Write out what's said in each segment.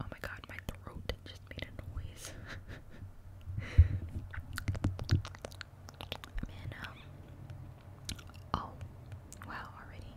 Oh my god, my throat just made a noise. oh, wow, already.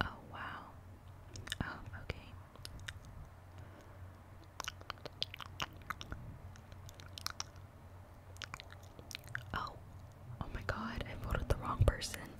Oh, wow. Oh, okay. Oh, oh my god, I voted the wrong person.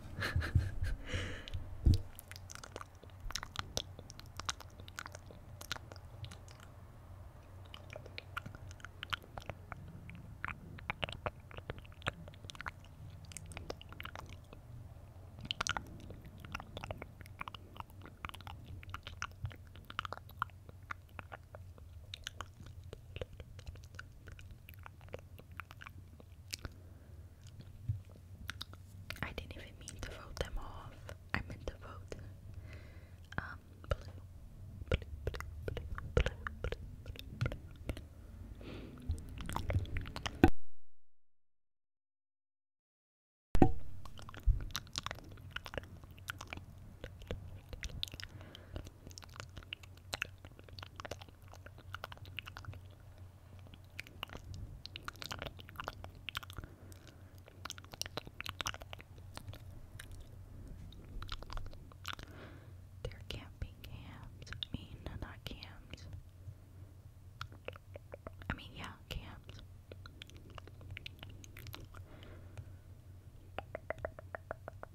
I didn't even mean to vote them off. I meant to vote um, there can't camps. I mean, not camps. I mean, yeah, camps.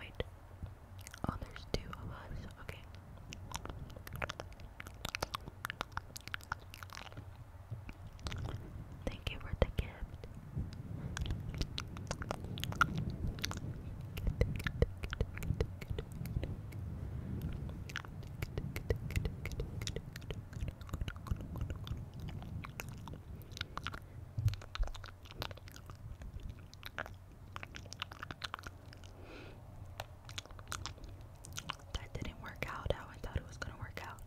Wait. Oh, there's two of us. Okay. Thank you for the gift. That didn't work out how I thought it was gonna work out.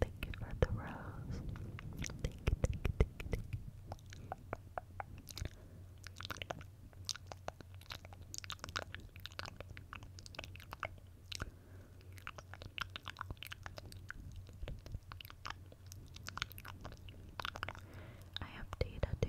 Thank you for the rose. I have data too.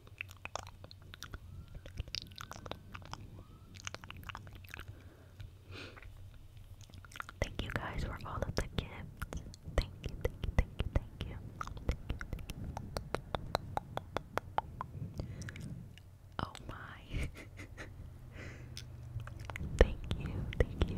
Thank you guys for all of the gifts. Thank you, thank you, thank you, thank you. Oh my. thank you, thank you.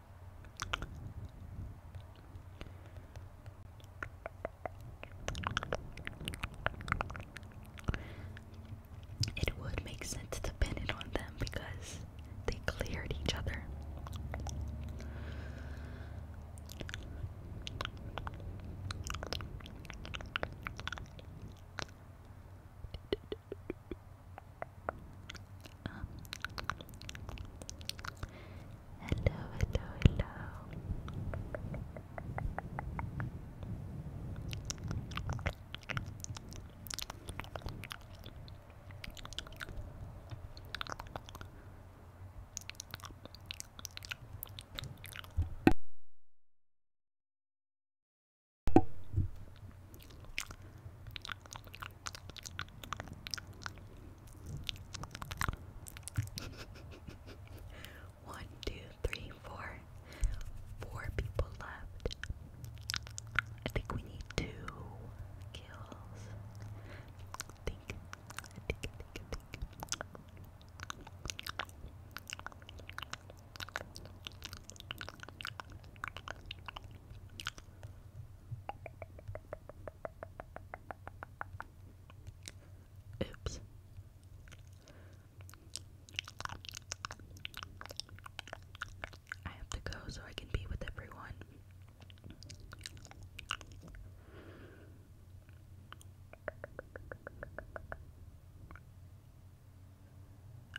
It would make sense to pin on them because they cleared each other. Um, hello, hello, hello. One, two, three, four. Four people left. I think we need two kills. I think, think, think, think. Oops. I have to go so I can be with everyone.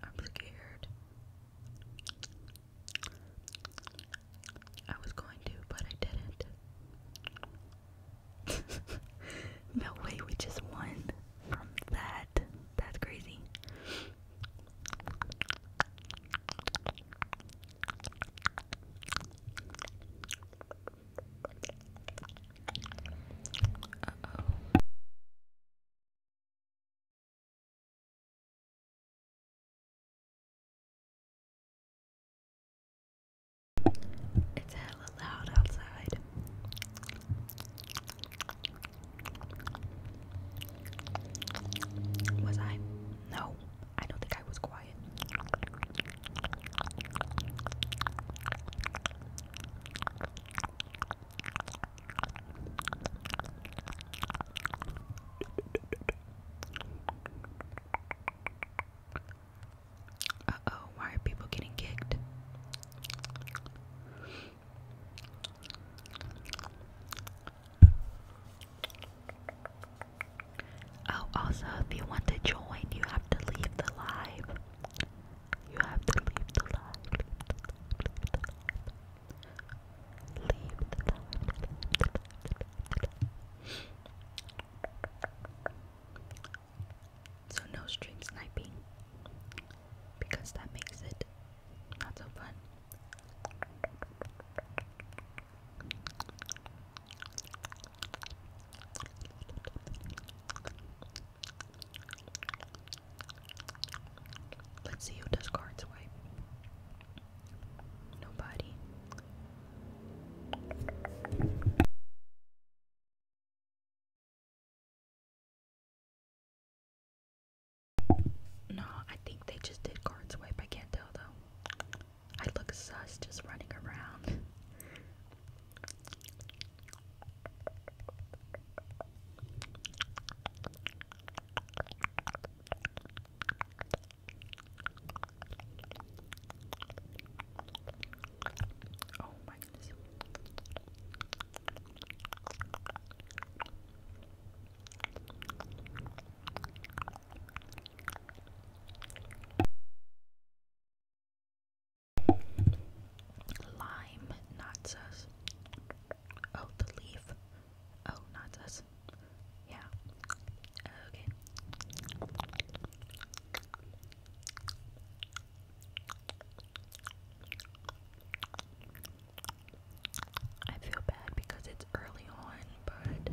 I'm scared. I was going to, but I didn't. no way, we just won from that. That's crazy. oh. It's hella loud outside. Was I? No, I don't think I was quiet. Uh oh, why are people getting kicked? Oh, also, if you want to join, you have to leave the live. You have to leave the live. Leave the live. So no stream sniping because that makes it not so fun. Let's see who does cards swipe. Nobody. No, I think they just did card swipe. I can't tell though. I look sus just running around. Oh my goodness. Lime, not sus. Oh, the leaf. Oh, not sus. Yeah. Okay. I feel bad because it's early on, but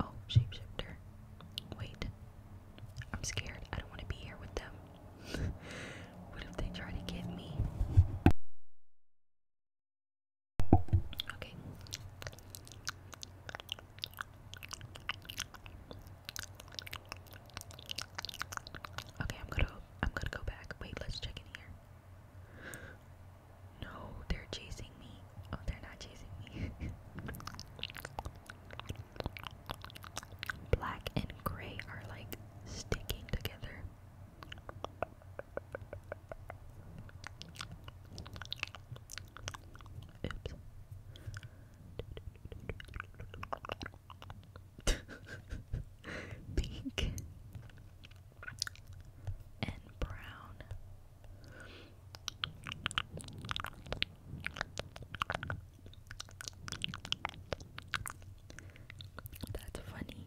Oh, shapeshifter. Wait. I'm scared. I don't want to be here with them. what if they try to get me? Okay. Okay, I'm gonna I'm gonna go back. Wait, let's check in here. No, they're chasing me. Oh, they're not chasing me. Black and gray are like sticking together. Oops. pink and brown. That's funny.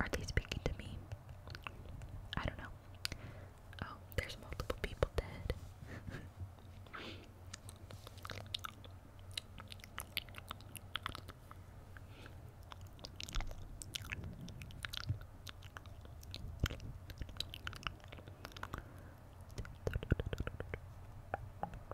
Are they speaking to me? I don't know. Oh, there's multiple people dead.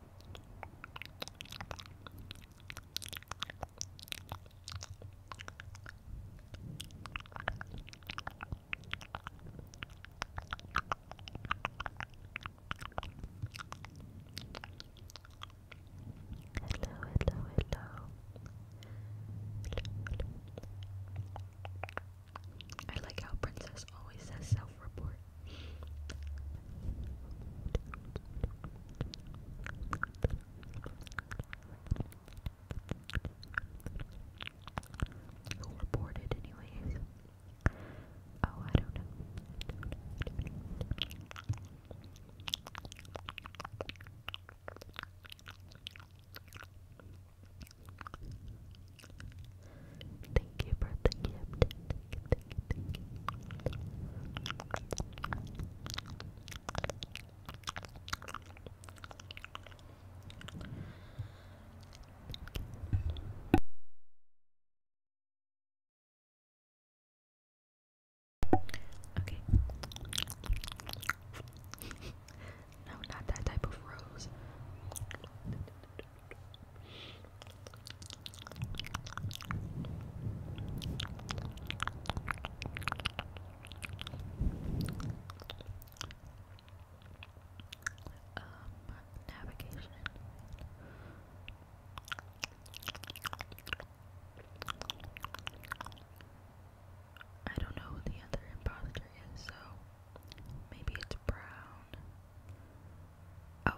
hello, hello. I like how Princess always says self report. Who reported, anyways? Oh, I don't know. Thank you for the gift. Okay. no, not that type of rose. Um, navigation. I don't know who the other imposter is, so maybe it's Brown. Oh,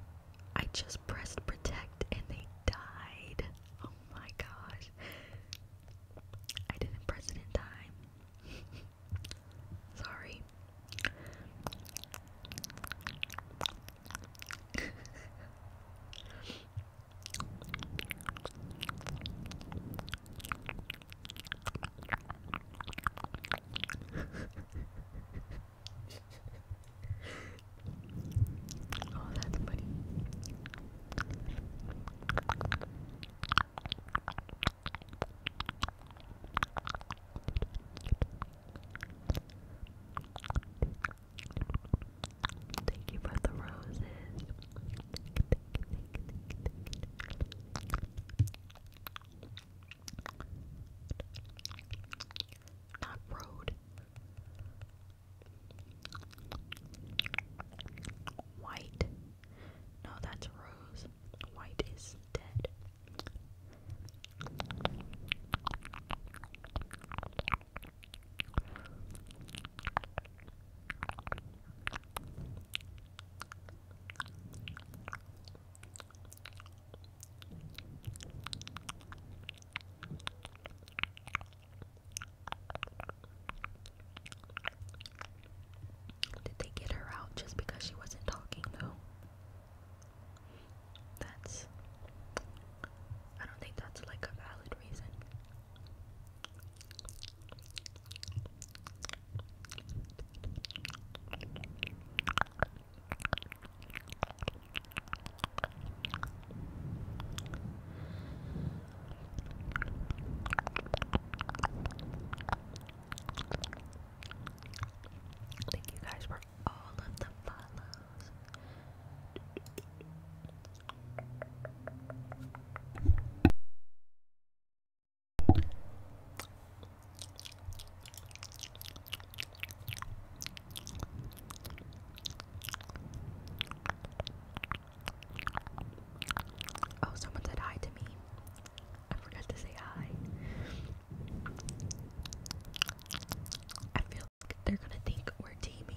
I just pressed protect and they died. Oh my gosh. I didn't press it in time. Sorry. oh, that's funny. Thank you for the roses. Not road. White. No, that's rose. White is dead. Did they get her out just because she wasn't talking though? That's I don't think that's like a valid reason. Thank you guys for all of the follows. Oh, someone said hi to me. I forgot to say hi. I feel like they're gonna think we're teaming.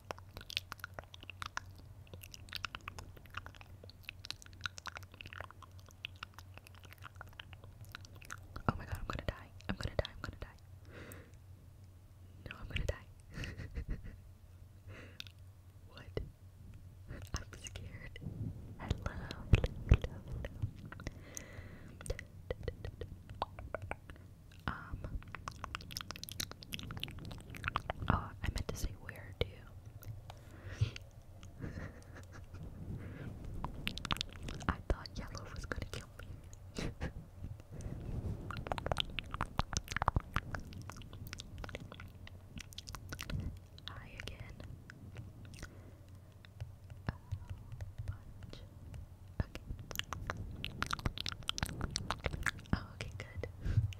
Oh my god, I'm gonna die. I'm gonna die. I'm gonna die. No, I'm gonna die. what? I'm scared. Hello, hello, um, Oh, I meant to say where too. I thought yellow was gonna kill me. Hi again. Okay. Oh, okay, good.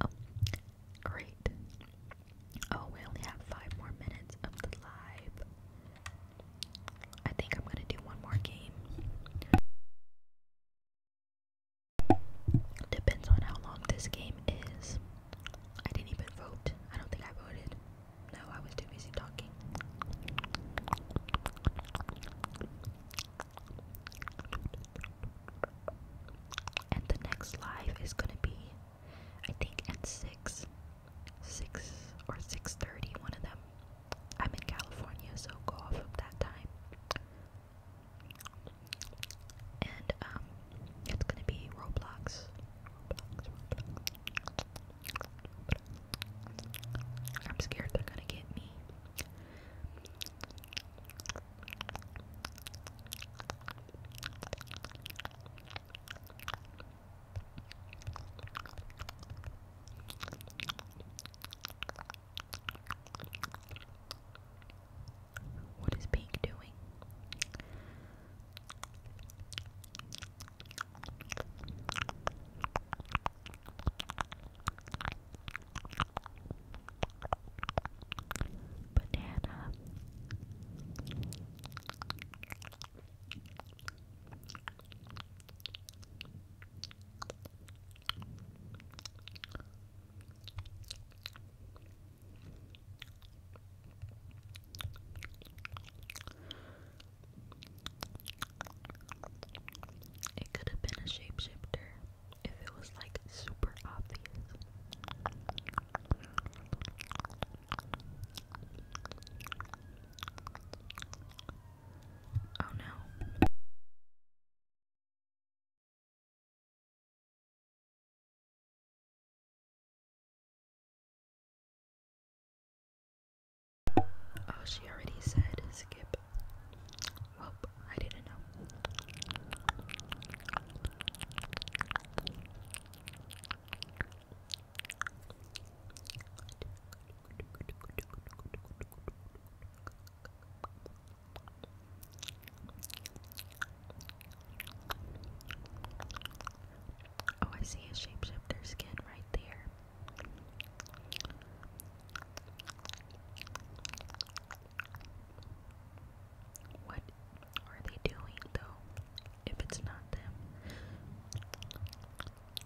Oh, great. Oh, we only have five more minutes of the live. I think I'm gonna do one more game. Depends on how long this game is. I didn't even vote. I don't think I voted. No, I was too busy talking. And the next live is gonna be, I think, at six, six or six thirty. One of them. I'm in California, so go off of that time. And um, it's gonna be Roblox. I'm scared they're gonna get me. What is Pink doing? Banana. It could have been a shapeshifter if it was like super obvious. Oh no. Oh, she already said skip. Well, I didn't know. Oh, I see a shapeshifter skin right there. What are they doing though? If it's not them.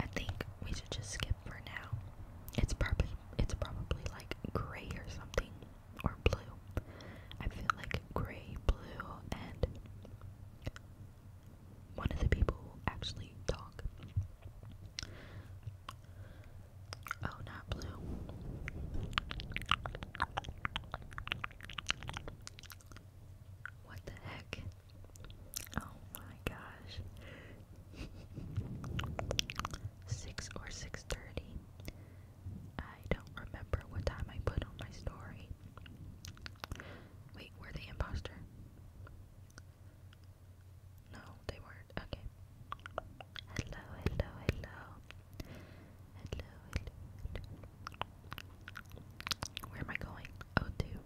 I think we should just skip for now. It's probably it's probably like gray or something or blue. I feel like gray, blue, and one of the people actually talk. Oh, not blue. What the heck? Oh my gosh. Six or six thirty. I don't remember what time I put on my story. Wait, we the imposter. No, they weren't. Okay. Hello, hello, hello. Hello, hello, hello. Where am I going? Oh, two.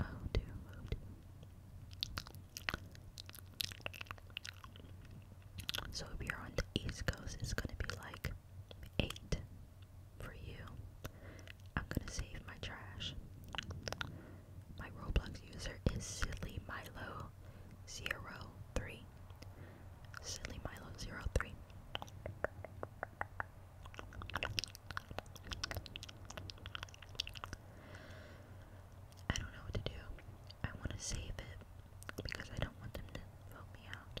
Oh, two. Oh, two. So if you're on the East Coast, it's gonna be like eight, for you. I'm gonna save my trash. My Roblox user is Silly Milo 03. Silly Milo 03. I don't know what to do. I want to save it because I don't want them to vote me out.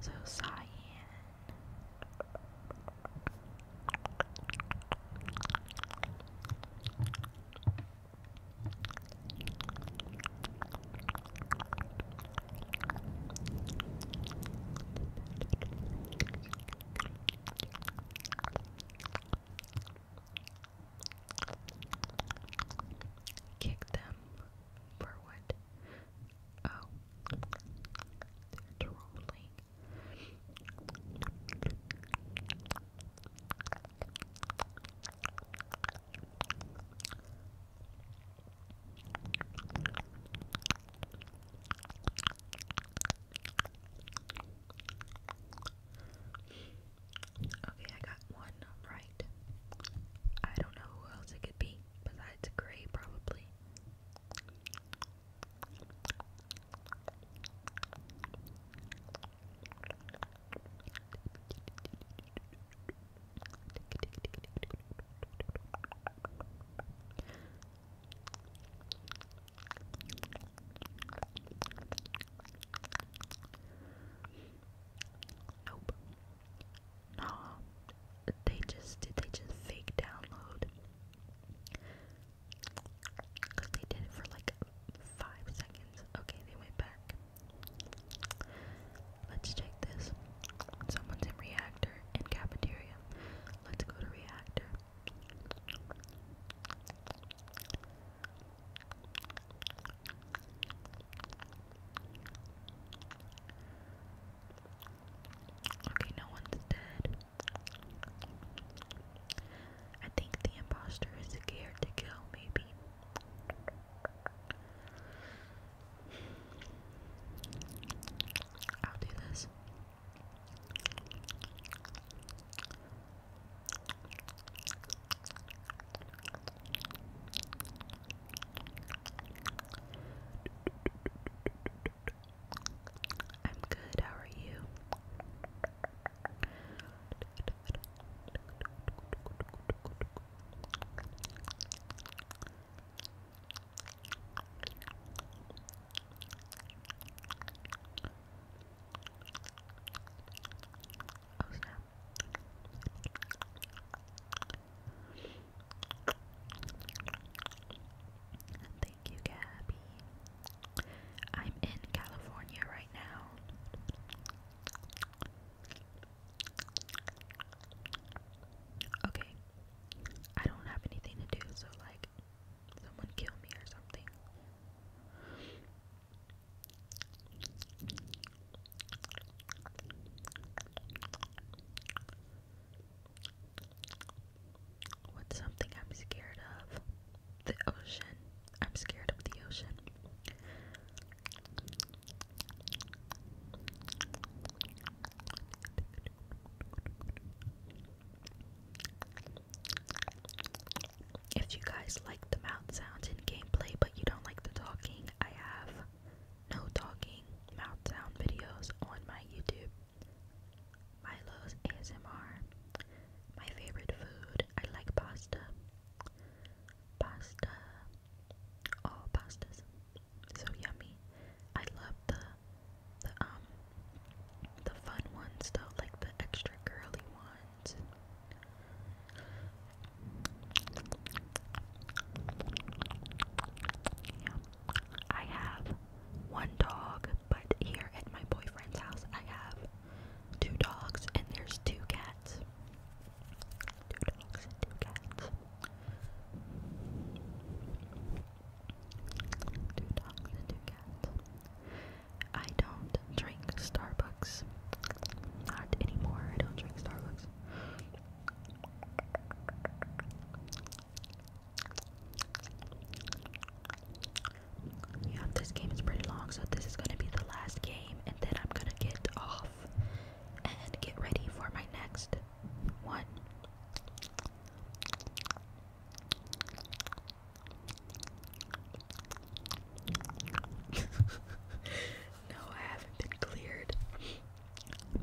So cyan. Kick them for Oh, trolling. Okay, I got one right. I don't know who else it could be. Besides gray, probably. Nope. Nah, um, they just did they just fake download? Cause they did it for like five seconds. Okay, they went back. Let's check this. Someone's in reactor and cafeteria. Let's go to reactor. Okay, no one's dead. I think the imposter is scared to kill, maybe. I'll do this. I'm good, how are you? Oh, Thank you, Gabby. I'm in California right now. Okay. I don't have anything to do, so like someone kill me or something. What's something I'm scared of? The ocean. I'm scared of the ocean. If you guys like the mouth sounds in gameplay but you don't like the talking, I have no talking mouth sound videos on my YouTube. Milo's ASMR. My favorite food. I like pasta. Pasta. All pastas. So yummy. I love the the um the fun ones though, like the extra curly ones. Yum. I have one dog, but here at my boyfriend's house, I have two dogs and there's two cats. Two dogs and two cats. Two dogs and two cats. I don't drink Starbucks. Not anymore. I don't drink Starbucks. Yeah, this game is pretty long, so this is gonna be the last game, and then I'm gonna get off and get ready for my next one. no, I haven't been cleared.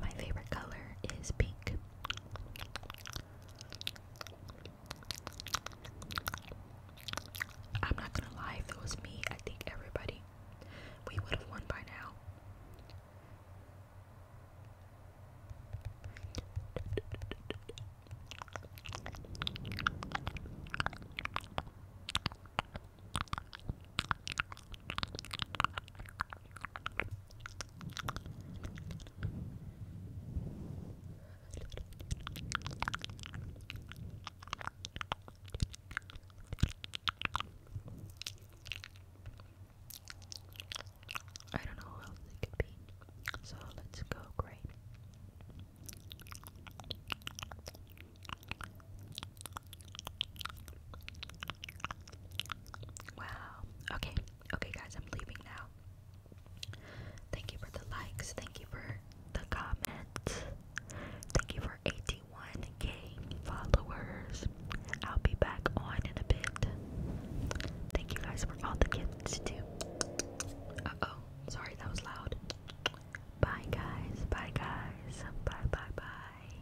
My favorite color is pink. I'm not gonna lie, if it was me, I think everybody we would have won by now. I don't know who else it could be. So let's go, great. Wow. Okay. Okay, guys, I'm leaving now. Thank you for the likes. Thank you for the comments. Thank you for 81k followers. I'll be back on in a bit. Thank you guys for all the gifts, too. Uh oh. Sorry, that was loud. Bye, guys. Bye, guys. Bye, bye, bye.